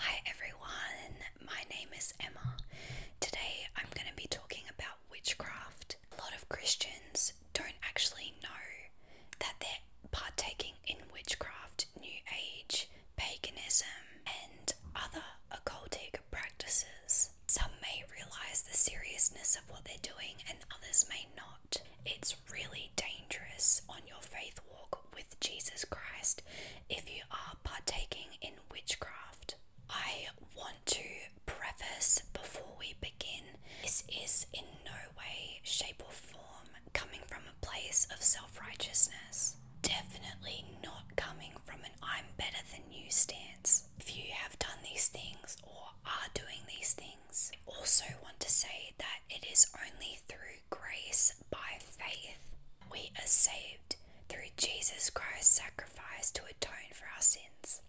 Hi everyone, my name is Emma. Today I'm going to be talking about witchcraft. A lot of Christians don't actually know that they're partaking in witchcraft, New Age, paganism, and other occultic practices. Some may realize the seriousness of what they're doing, and others may not. It's really dangerous dangerous on your faith walk with Jesus Christ if you are partaking in witchcraft. I want to preface before we begin this is in no way, shape, or form coming from a place of self righteousness. Definitely not coming from an I'm better than you stance. If you have done these things or are doing these things, I also want to say that it is only through through grace by faith. We are saved through Jesus Christ's sacrifice to atone for our sins.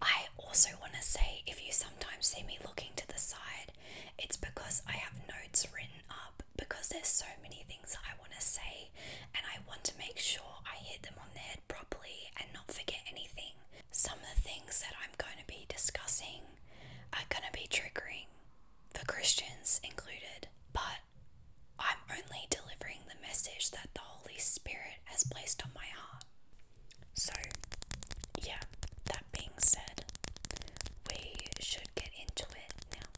I also want to say if you sometimes see me looking to the side, it's because I have notes written up because there's so many things I want to say and I want to make sure I hit them on the head properly and not forget anything. Some of the things that I'm going to be discussing are going to be triggering for Christians included, but I'm only delivering the message that the Holy Spirit has placed on my heart. So, yeah, that being said, we should get into it now.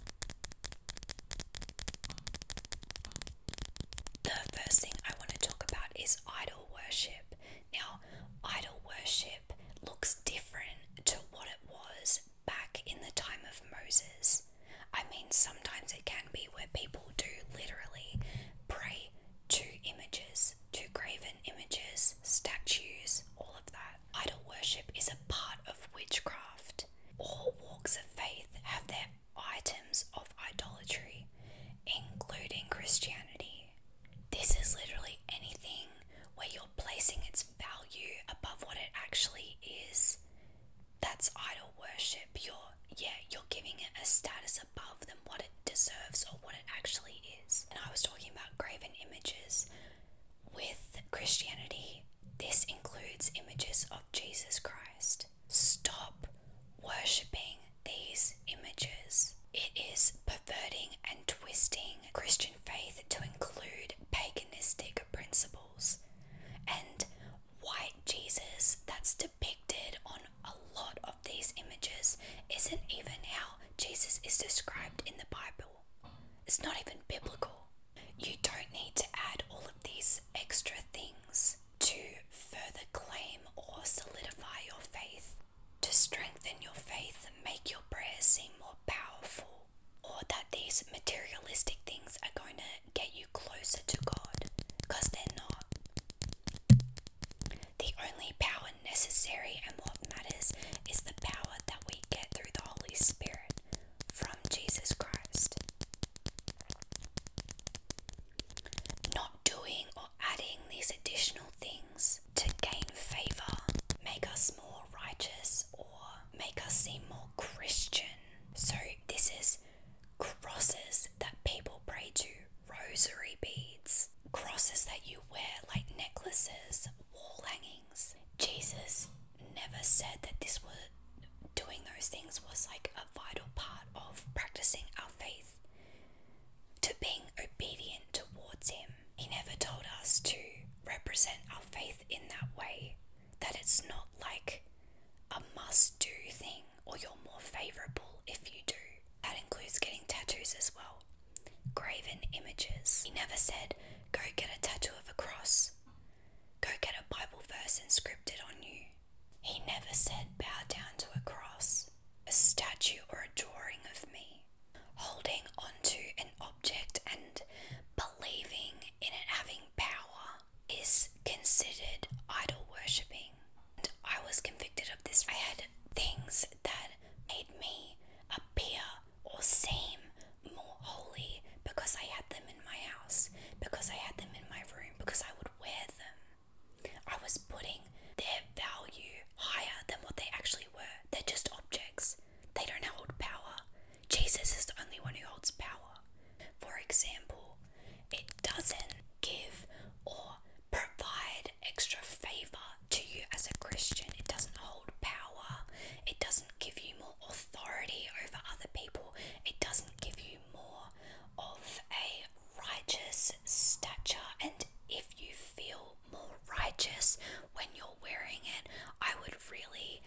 The first thing I want to talk about is idol worship. Now, idol worship looks different to what it was back in the time of Moses. I mean, sometimes it can be where people do literally pray to images, to graven images, statues, all of that. Idol worship is a part of witchcraft. All walks of faith have their items of idolatry, including Christianity. This is literally anything where you're placing its value above what it actually is. That's idol worship. You're yeah, you're giving it a status above than what it deserves or what it actually is. And I was talking about graven images with Christianity. This includes images of Jesus Christ. Stop worshipping these images. It is perverting and twisting Christian faith to include paganistic principles. And white Jesus, that's depicted on a lot of these images, isn't even how Jesus is described in the Bible. It's not even biblical. You don't need to add all of these extra things to further claim or solidify your faith to strengthen your faith and make your prayers seem more powerful, or that these materialistic things are going to get you closer to God, because they're not. The only power necessary and what matters is the power that we get through the Holy Spirit from Jesus Christ. Not doing or adding these additional things to gain favor, make us more righteous, or make us seem more Christian. So, this is crosses that people pray to, rosary beads, crosses that you wear like necklaces, wall hangings. Jesus never said that this was doing those things was like a vital part of practicing our faith to being obedient towards Him. He never told us to represent our faith in that way, that it's not like a must do thing or you're more favourable if you do. That includes getting tattoos as well. Graven images. He never said, go get a tattoo of a cross, go get a Bible verse and script it on you. He never said, bow down to a cross, a statue, or a drawing of me holding onto an object and believing in it having power is considered idol worshipping. I was convicted of this. I had things that made me appear or seem more holy because I had them in my house, because I had them in my room, because I would wear them. I was putting their value higher than what they actually were. They're just objects, they don't hold power. Jesus is the only one who holds power. For example, it doesn't give or provide extra favor to you as a Christian, it doesn't hold power, it doesn't give you more authority over other people, it doesn't give you more of a righteous stature. And if you feel more righteous when you're wearing it, I would really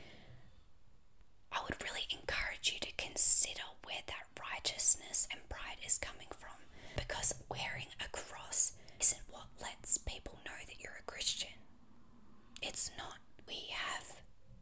I would really encourage you to consider where that righteousness and pride is coming from because wearing a cross isn't what lets people know that you're a Christian. It's not. We have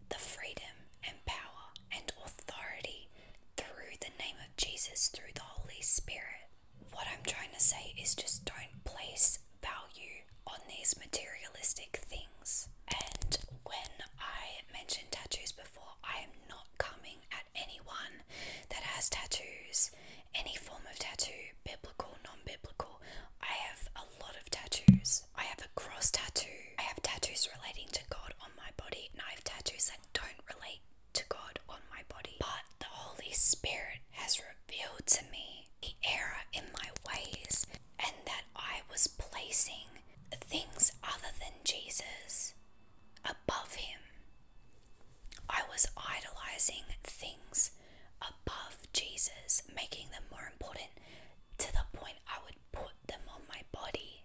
the freedom and power and authority through the name of Jesus, through the Holy Spirit, what I'm trying to say is just don't place value on these materialistic things. And when I mentioned tattoos before, I am not coming at anyone that has tattoos, any form of tattoo, biblical, non biblical. I have a lot of tattoos. I have a cross tattoo. I have tattoos relating to God on my body, and I have tattoos that don't relate to God on my body, but the Holy Spirit has revealed to me the error in my ways and that I was placing things other than Jesus above Him. I was idolizing things above Jesus, making them more important to the point I would put them on my body.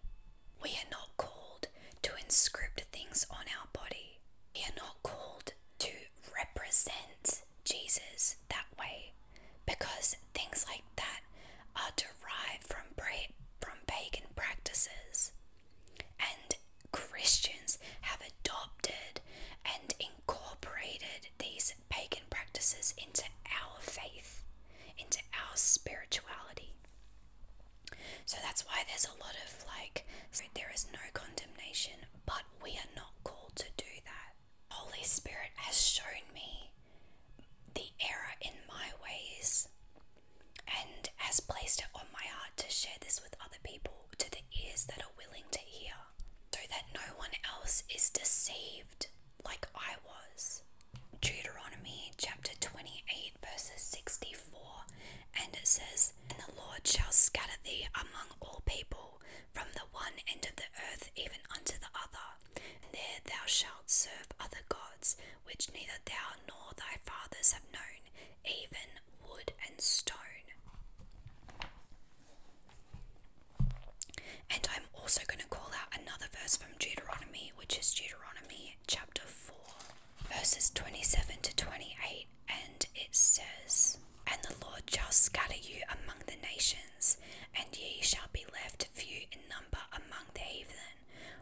We are not called to inscript things on our body. We are not called to represent Jesus that way because things like that are derived from from pagan practices. And Christians have adopted and incorporated these pagan practices into our faith, into our spirituality. So that's why there's a lot of like, there is no condemnation, but we are not called to do that. Holy Spirit has shown me the error in my ways and has placed it on my heart to share this with other people, to the ears that are willing to hear, so that no one else is deceived like I was. Deuteronomy chapter 28 verses 64, and it says, And the Lord shall scatter thee among all people, from the one end of the earth even unto the other. And there thou shalt serve other gods, which neither thou nor thy fathers have known, even wood and stone. And I'm also going to call out another verse from Deuteronomy, which is Deuteronomy chapter 4 verses 27 to 28, and it says, And the Lord shall scatter you among the nations, and ye shall be left few in number among the heathen,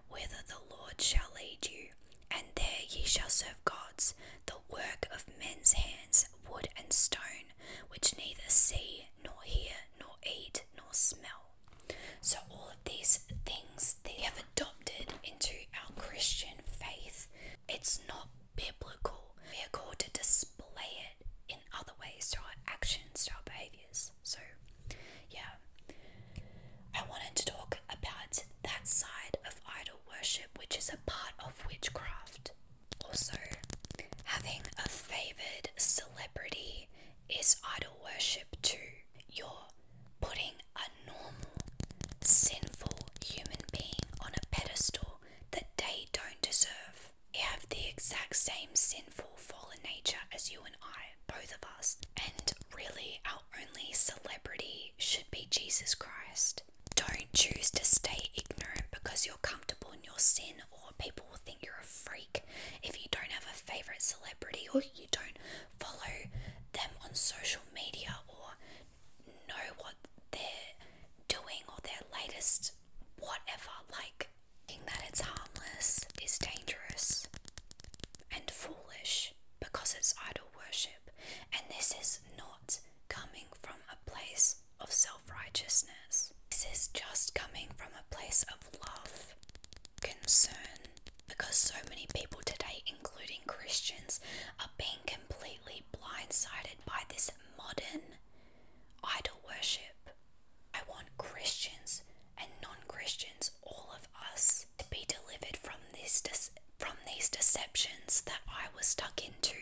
whither the Lord shall lead you. And there ye shall serve gods, the work of men's hands, wood and stone, which neither see, nor hear, nor eat, nor smell. So all of these things that they have adopted into our Christian faith. It's not biblical. We are called to display it in other ways to our actions, to our behaviors. So yeah. I wanted to talk about that side of idol worship, which is a part of witchcraft. Also, having a favoured celebrity is idol worship too. You're putting a normal, sinful human being on a pedestal that they don't deserve. They have the exact same sinful, fallen nature as you and I, both of us. And really, our only celebrity should be Jesus Christ. Don't choose to stay ignorant because you're comfortable in your sin or people will think you're a freak if you don't have a favorite celebrity or you don't follow them on social media or know what they're doing or their latest whatever. Like, thinking that it's harmless is dangerous and foolish because it's idol worship, and this is not coming from a place of self righteousness. This is just coming from a place of love concern because so many people today, including Christians, are being completely blindsided by this modern idol worship. I want Christians and non-Christians, all of us, to be delivered from this from these deceptions that I was stuck into.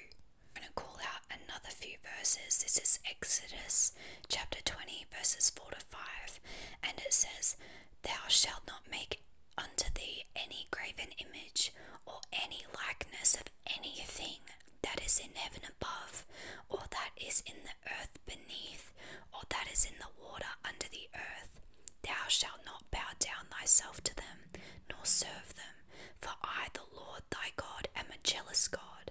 I'm going to call out another few verses. This is Exodus chapter 20, verses 4 to 5, and it says, Thou shalt not make unto thee any graven image, or any likeness of anything that is in heaven above, or that is in the earth beneath, or that is in the water under the earth. Thou shalt not bow down thyself to them, nor serve them, for I, the Lord thy God, am a jealous God,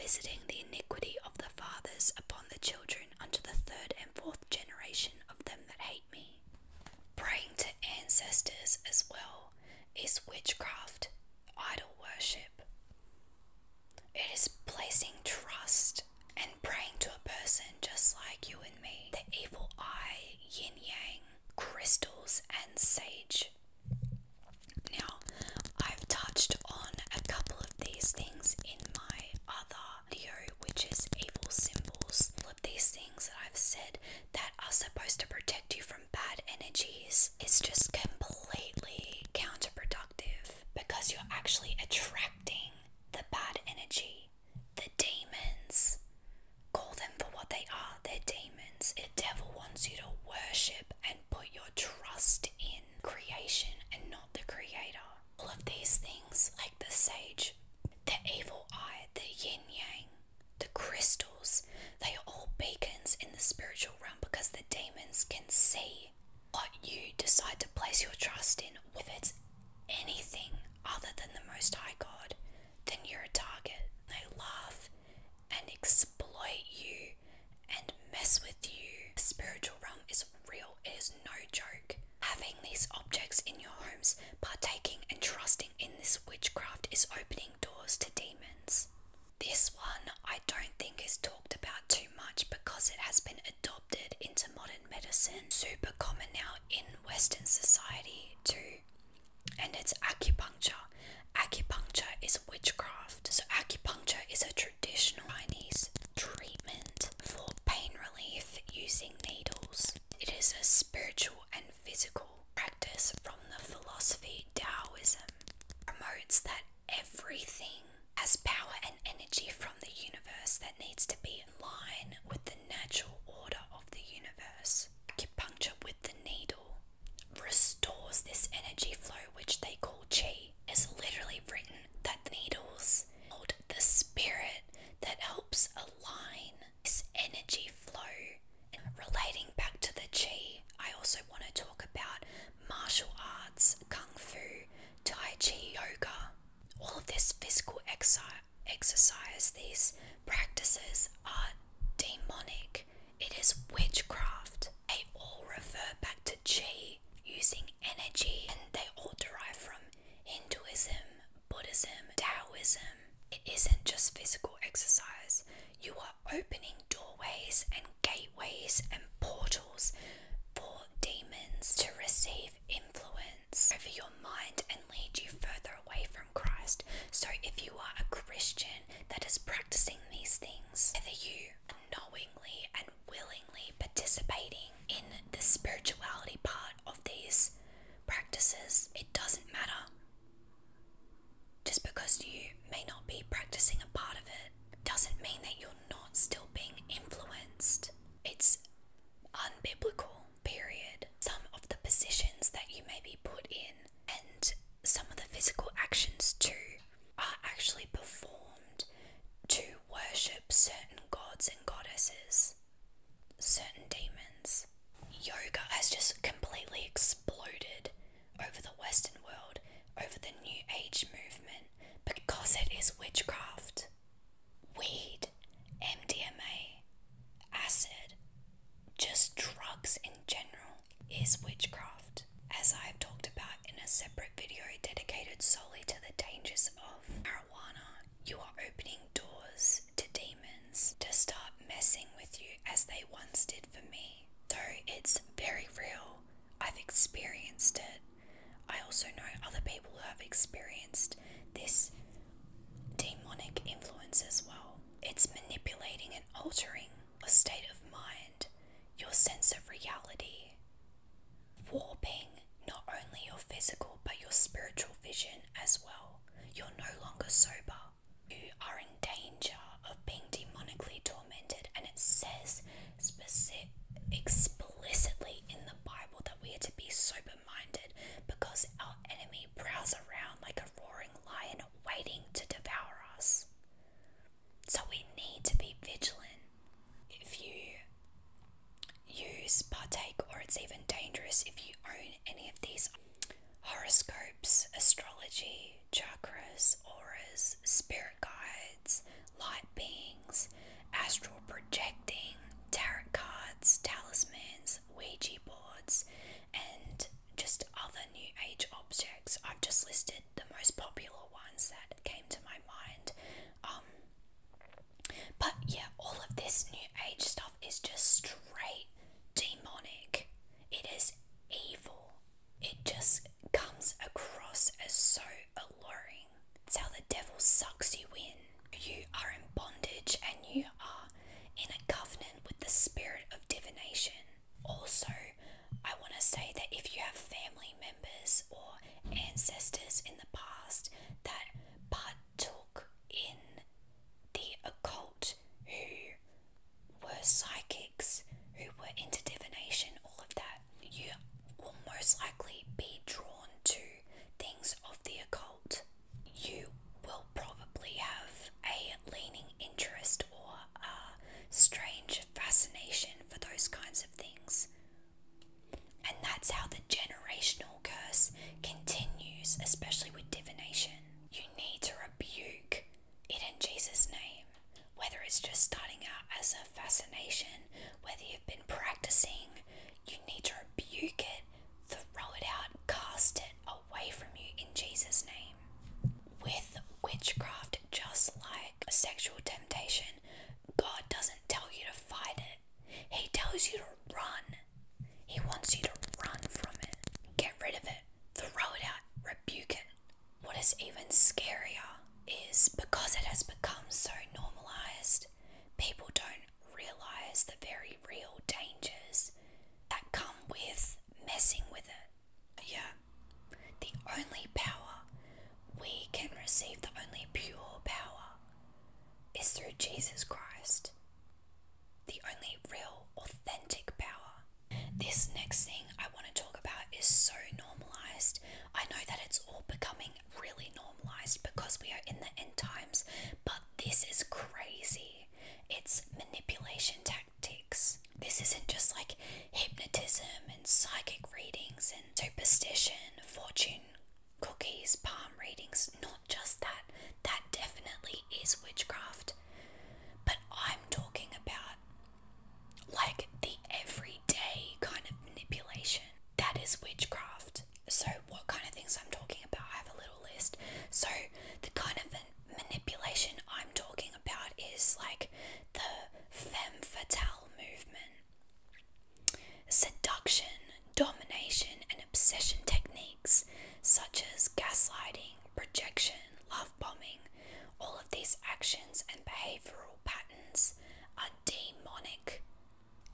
visiting the iniquity of the fathers upon the children children the third and fourth generation of them that hate me. Praying to ancestors as well is witchcraft, idol worship. It is placing trust and praying to a person just like you and me. The evil eye, yin yang, crystals, and sage. Now, I've touched on a couple of these things in my other which is evil symbols. All of these things that I've said that are supposed to protect you from bad energies is just completely counterproductive because you're actually attracting the bad energy, the demons. Call them for what they are, they're demons. The devil wants you to worship and put your trust in creation and not the creator. All of these things, like the sage, the evil eye, the yin yang, the crystals, they are all beacons in the spiritual realm because the demons can see what you decide to place your trust in. If it's anything other than the Most High God, then you're a target. They laugh and exploit you and mess with you. The spiritual realm is real, it is no joke. Having these objects in your homes, partaking and trusting in this witchcraft is opening doors to demons. This one I don't think is talked about too much because it has been adopted into modern medicine, super common now in Western society too. And it's acupuncture. Acupuncture is witchcraft. So, acupuncture is a tradition traditional Chinese treatment for pain relief using needles. It is a spiritual and physical practice from the philosophy Taoism. Promotes that everything has power and energy from the universe that needs to be in line with the natural order of the universe. Acupuncture with the needle restores this energy flow, which they call qi. Is literally written that needles hold the spirit that helps align this energy flow. And relating back to the chi. I also want to talk about martial arts, Kung Fu, Tai Chi, yoga. All of this physical exercise these practices are demonic. It is witchcraft. They all refer back to chi using energy and they all derive from Hinduism, Buddhism, Taoism. It isn't just physical exercise, you are opening doorways and gateways and portals for demons to receive influence over your mind and lead you further away from Christ. So, if you are a Christian that is practicing these things, either you unknowingly and willingly participating in the spirituality part of these practices, it doesn't matter. Just because you may not be practicing a part of it doesn't mean that you're not still being influenced. It's unbiblical, period. Some of the positions that you may be put in and some of the physical actions too are actually performed to worship certain gods and goddesses, certain demons. Yoga has just completely exploded over the Western world, over the New Age movement, because it is witchcraft. Weed, MDMA, acid, just drugs in general is witchcraft, as I have talked about in a separate video dedicated solely to the dangers of marijuana. You are opening doors to demons to start messing with you as they once did for me. Though it's very real. I've experienced it. I also know other people who have experienced this demonic influence as well. It's manipulating and altering a state of mind your sense of reality, warping not only your physical but your spiritual vision as well. You're no longer sober. You are in danger of being demonically tormented, and it says specific, explicitly in the Bible that we are to be sober minded because our enemy prowls around like a roaring lion waiting to devour us. So we need to be vigilant. If you use, partake, or it's even dangerous if you own any of these horoscopes, astrology, chakras, auras, spirit guides, light beings, astral projecting, tarot cards, talismans, Ouija boards, and just other New Age objects. I've just listed the most popular ones that came to my mind. Um, but yeah, all of this new age stuff is just straight demonic. It is evil. It just comes across as so alluring. It's how the devil sucks you in. You are in bondage and you are in a covenant with the spirit of divination. Also, I want to say that if you have family members or ancestors in the past that partook in the occult, who were psychics, who were into divination, all of that, you will most likely be drawn to things of the occult. You will probably have a leaning interest or a uh, strange fascination for those kinds of things. And that's how the generational curse continues, especially with divination. You need to rebuke it in Jesus' name. Whether it's just starting out as a fascination, whether you've been practicing, you need to rebuke it, throw it out, cast it away from you in Jesus' name. With witchcraft, just like a sexual temptation, God doesn't tell you to fight it. He tells you to run. He wants you to run from it. Get rid of it. Throw it out. Rebuke it. What is even scarier is because it has become so normalized, people don't realize the very real dangers that come with messing with it. Yeah, the only power we can receive, the only pure power, is through Jesus Christ. The only real, authentic power. This next thing I want to talk about is so normalized. I know that it's all becoming really normalized because we are in the end times, but this is crazy. It's manipulation tactics tactics. This isn't just like hypnotism and psychic readings and superstition, fortune cookies, palm readings, not just that. That definitely is witchcraft. But I'm talking about like the everyday kind of manipulation. That is witchcraft. So, what kind of things I'm talking about? I have a little list. So, the kind of manipulation I'm talking about is like the femme fatale movement. Seduction, domination, and obsession techniques such as gaslighting, projection, love bombing, all of these actions and behavioral patterns are demonic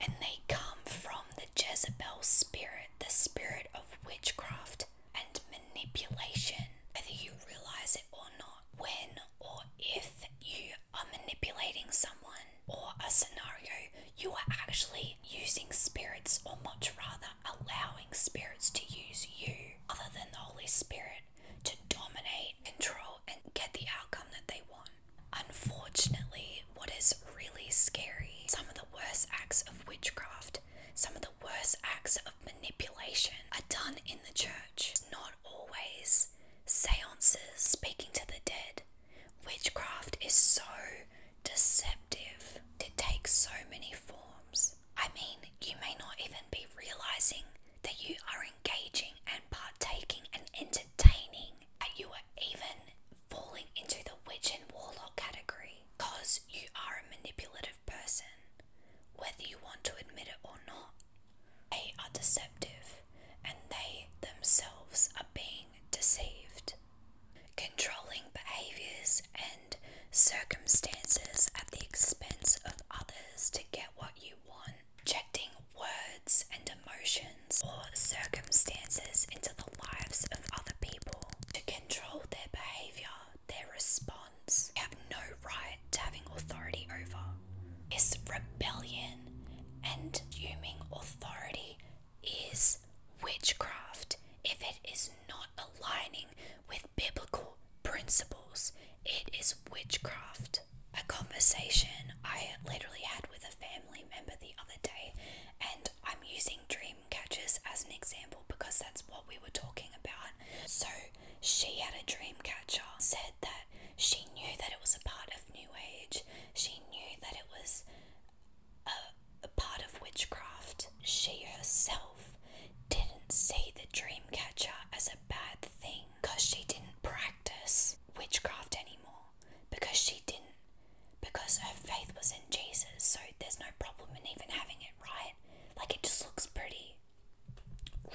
and they come from the Jezebel spirit, the spirit of witchcraft and manipulation, whether you realize it or not. When or if you are manipulating someone or a scenario, you are actually using spirits, or much rather, allowing spirits to use you, other than the Holy Spirit, to dominate, control, and get the outcome that they want. Unfortunately, what is really scary, some of the worst acts of witchcraft, some of the the acts of manipulation are done in the church. not always seances, speaking to the dead. Witchcraft is so deceptive, it takes so many forms. I mean, you may not even be realizing that you are engaging and partaking and entertaining, that you are even falling into the witch and warlock category because you are a manipulative person, whether you want to admit it or not. They are deceptive and they themselves are being deceived. Controlling behaviors and circumstances at the expense of others to get what you want. Injecting words and emotions or circumstances into the lives of other people to control their behavior, their response. have no right to having authority over. This rebellion and assuming authority is witchcraft if it is not aligning with biblical principles. It is witchcraft. A conversation I literally had with a family member the other day, and I'm using dream swing catchers as an example because that's what we were talking about. So she had a dream catcher, said that she knew that it was a part of New Age, she knew that it was a part of witchcraft. She herself didn't see the dream catcher as a bad thing because she didn't practice witchcraft anymore, because she didn't because her faith was in Jesus, so there's no problem in even having it right. Like it just looks pretty.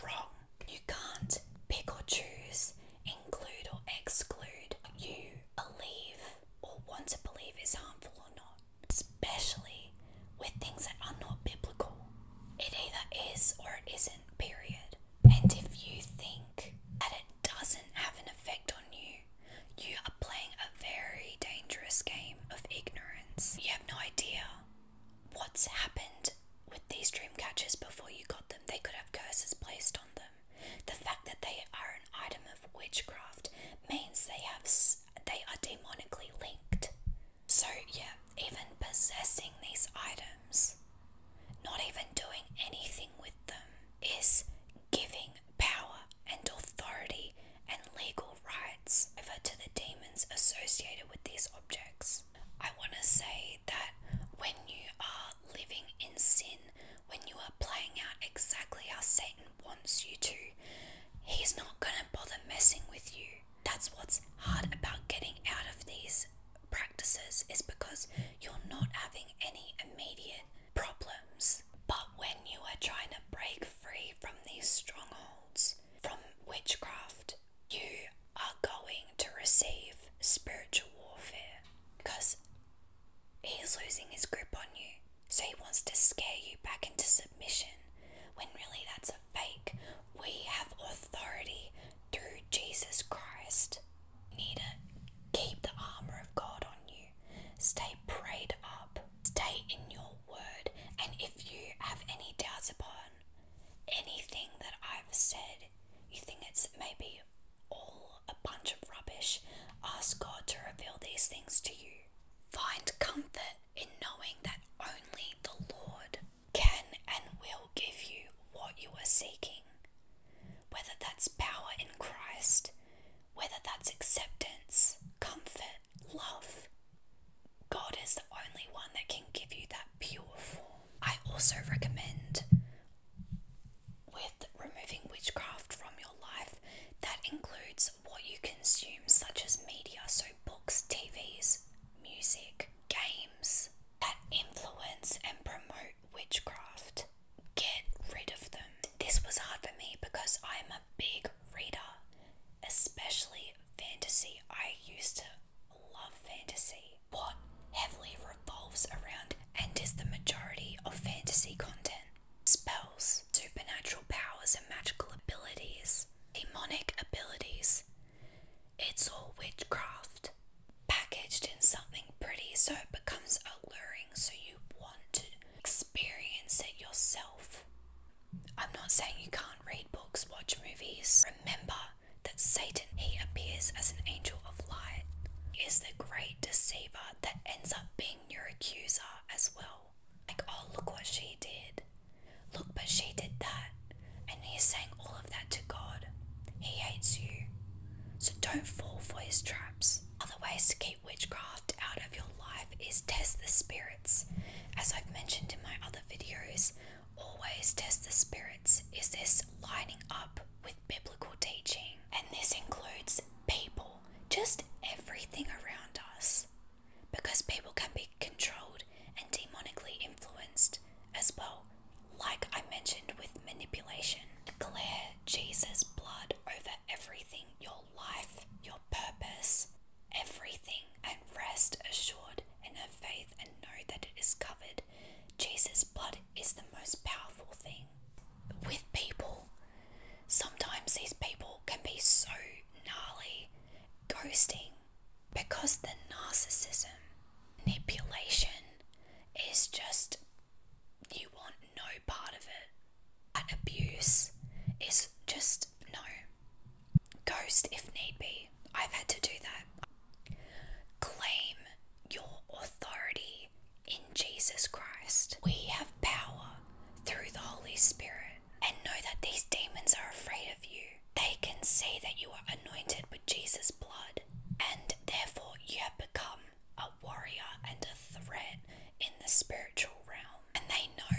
Wrong. You can't pick or choose, include or exclude you believe or want to believe is harmful or not, especially with things that are not biblical. It either is or it isn't, period. And if you think that it doesn't have an effect on you, you are playing a very dangerous game of ignorance. You have no idea what's happened with these dream catchers before you got them. They could have curses placed on them. The fact that they are an item of witchcraft means they have they are demonically linked. So yeah, even possessing these items, not even doing anything with them, is giving power, and authority and legal rights over to the demons associated with these objects. I want to say that when you are living in sin, when you are playing out exactly how Satan wants you to, he's not going to bother messing with you. That's what's hard about getting out of these practices is because you're not having any immediate problem but when you are trying to break free from these strongholds, from witchcraft, you are going to receive spiritual warfare because he is losing his grip on you. So he wants to scare you back into submission when really that's a fake. We have authority through Jesus Christ. need to keep the armor of God on you, stay prayed up stay in your word, and if you have any doubts upon anything that I've said, you think it's maybe all a bunch of rubbish, ask God to reveal these things to you. Find comfort in knowing that only the Lord can and will give you what you are seeking, whether that's power in Christ, whether that's acceptance, comfort, love. God is the only one that can give you that pure form. I also recommend, with removing witchcraft from your life, that includes what you consume, such as media, so books, TVs, music, games that influence and promote witchcraft. Get rid of them. This was hard for me because I'm a big reader, especially fantasy. I used to love fantasy. What heavily revolves around and is the majority of fantasy content spells, supernatural powers and magical abilities, demonic abilities. It's all witchcraft. Packaged in something pretty so it becomes alluring so you want to experience it yourself. I'm not saying you can't read books, watch movies. Remember that Satan, he appears as an angel of light, is the great deceiver that ends up being your accuser as well. Like, oh, look what she did. Look, but she did that. And he's saying all of that to God. He hates you. So don't fall for his traps. Otherwise, to keep witchcraft out of your life is test the spirits. As I've mentioned in my other videos, always test the spirits. Is this lining up with biblical teaching? And this includes people, just everything around us. Because people can be controlled and demonically influenced as well, like I mentioned with manipulation. Declare Jesus' blood over everything your life, your purpose, everything, and rest assured in her faith and know that it is covered. Jesus' blood is the most powerful thing. With people, sometimes these people can be so gnarly, ghosting, because the narcissism, manipulation is just you want no part of it. abuse is just no. Ghost if need be. I've had to do that. Claim your authority in Jesus Christ. We have power through the Holy Spirit and know that these demons are afraid of you. They can see that you are anointed with Jesus' blood and therefore you have become a warrior and a threat in the spiritual realm. And they know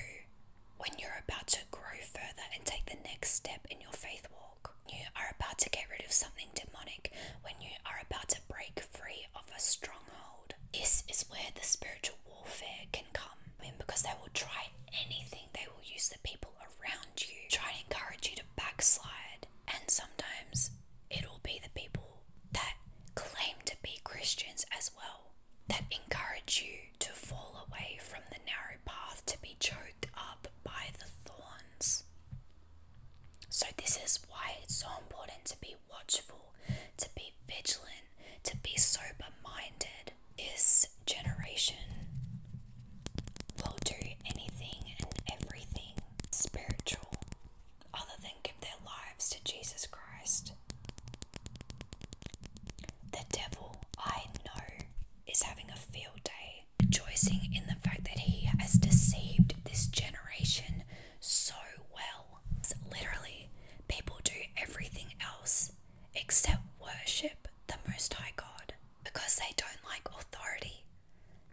when you're about to grow further and take the next step in your faith walk. You are about to get rid of something demonic, when you are about to break free of a stronghold. This is where the spiritual warfare can come in because they will try anything, they will use the people around you, try and encourage you to backslide. And sometimes it'll be the people that claim to be Christians as well that encourage you to fall away from the narrow path to be choked up by the thorns. So, this is why it's so important to be watchful, to be vigilant, to be sober minded. This generation will do anything and everything spiritual other than give their lives to Jesus Christ. The devil, I know, is having a field day, rejoicing in the fact that he has deceived this generation so well. Literally, people do everything else except worship the Most High God because they don't like authority,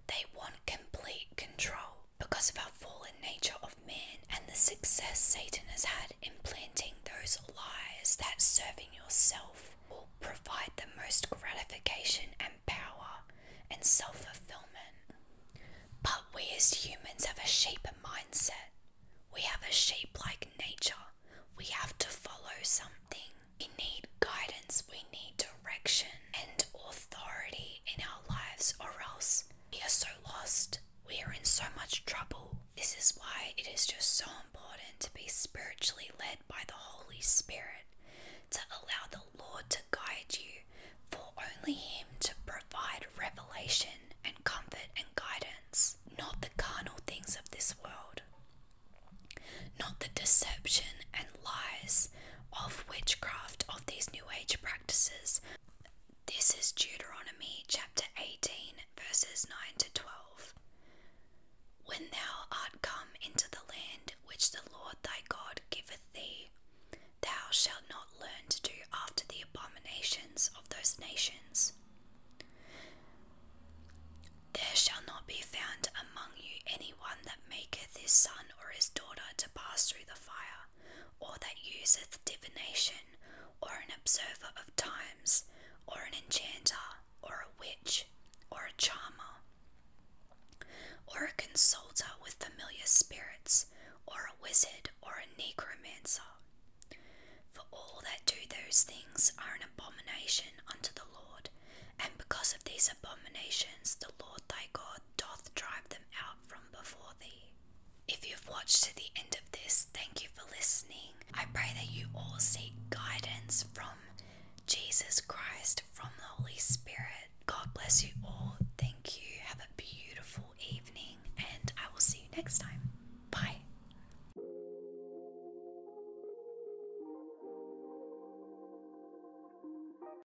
they want complete control. Because of our fallen nature of man and the success Satan has had in planting those lies that serving yourself will provide the most gratification and power and self fulfillment. But we as humans have a sheep mindset. We have a sheep like nature. We have to follow something. We need guidance, we need direction and authority in our lives, or else we are so lost. We are in so much trouble. This is why it is just so important to be spiritually led by the Holy Spirit, to allow the Lord to guide you, for only Him to provide revelation and comfort and guidance, not the carnal things of this world, not the deception and lies of witchcraft, of these New Age practices. This is Deuteronomy chapter 18, verses 9 to 12. When thou art come into the land which the Lord thy God giveth thee, thou shalt not learn to do after the abominations of those nations. There shall not be found among you any one that maketh his son or his daughter to pass through the fire, or that useth divination, or an observer of times, or an enchanter, or a witch, or a charmer, or a consulter with familiar spirits, or a wizard, or a necromancer. For all that do those things are an abomination unto the Lord, and because of these abominations the Lord thy God doth drive them out if you've watched to the end of this, thank you for listening. I pray that you all seek guidance from Jesus Christ, from the Holy Spirit. God bless you all. Thank you. Have a beautiful evening, and I will see you next time. Bye.